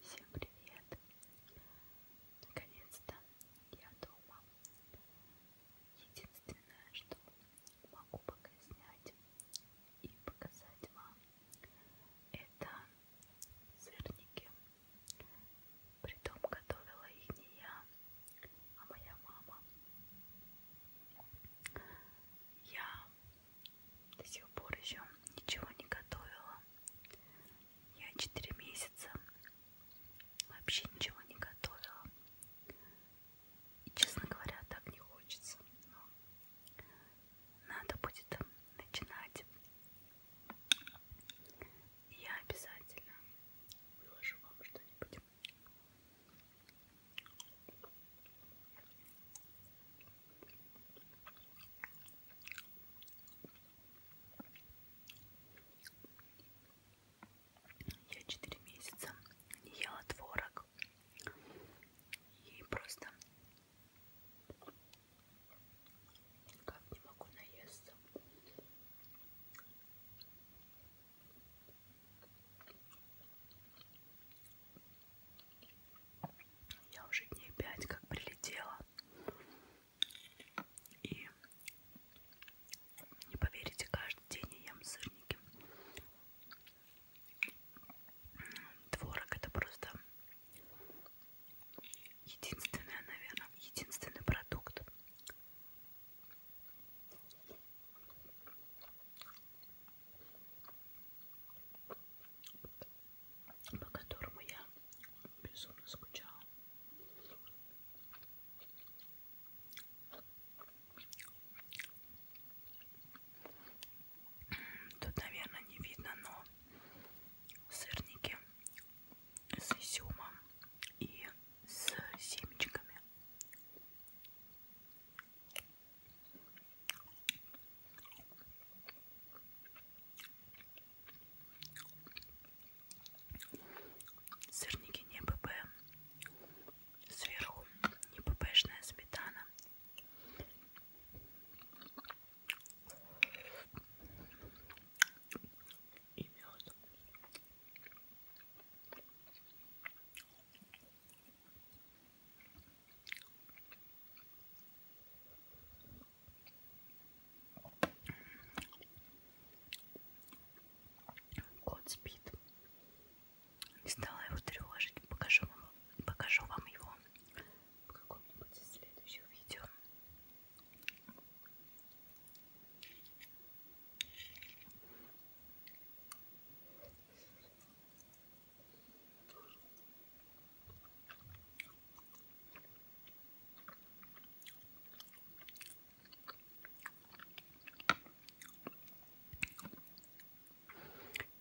Всем привет! Наконец-то я дома. Единственное, что могу пока снять и показать вам, это сырники. Притом готовила их не я, а моя мама. Я до сих пор еще ничего не готовила. Я 4 месяца вообще ничего не готовила. И, честно говоря, так не хочется. Но надо будет начинать. И я обязательно выложу вам что-нибудь. Я 4 месяца не ела творог. И просто никак не могу наесться. Я уже дней пять как прилетела. И не поверите, каждый день я ем сырники. Творог это просто единственное, наверное, единственный продукт, по которому я безумно скучала. Тут, наверное, не видно, но сырники с изюмом и с семечками. Сырники не ПП. Сверху не ППшная сметана. И мед. Кот спит. Не стала его тревожить. Покажу вам, покажу вам его в каком-нибудь из следующих видео.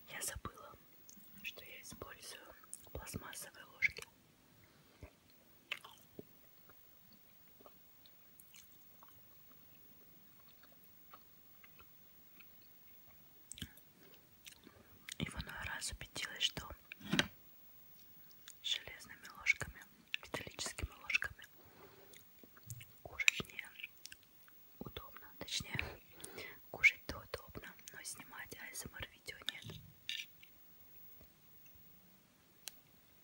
Я забыла, что я использую пластмассовые ложки. И в иной раз убедилась, что железными ложками, металлическими ложками кушать не удобно, точнее кушать-то удобно, но снимать асмр эм видео нет.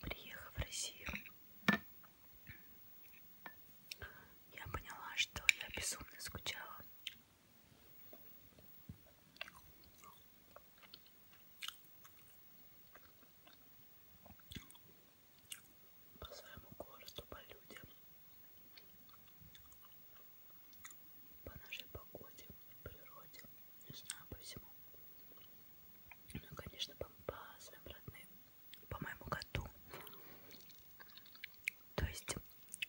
Приехав в Россию, я поняла, что я безумно скучала. По своему городу, по людям по нашей погоде, природе, не знаю, по всему. Ну, конечно, по, по своим родным, по моему коту. То есть,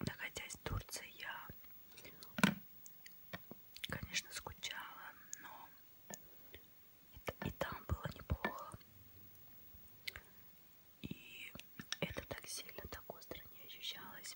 находясь в Турции, я, конечно, скучала, но и, и там было неплохо. И это так сильно, так остро не ощущалось.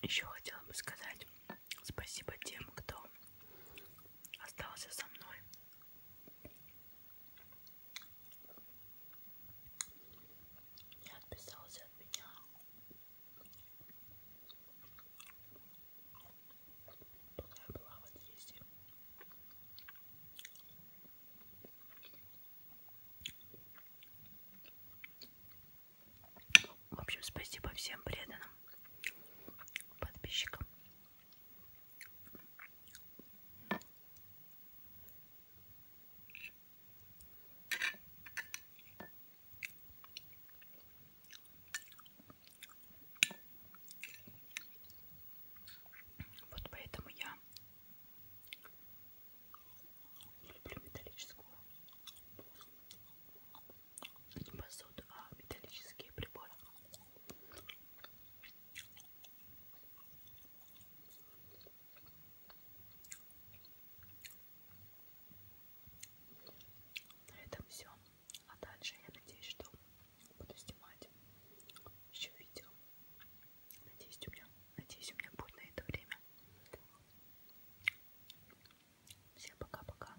Еще хотела бы сказать спасибо тем, кто остался со мной не отписался от меня. Пока я была в отъезде. В общем, спасибо всем преданным подписчикам вот поэтому я люблю металлическую не посуду, а металлические приборы. На этом все. А дальше я надеюсь, что буду снимать еще видео. Надеюсь, у меня, надеюсь, у меня будет на это время. Всем пока-пока.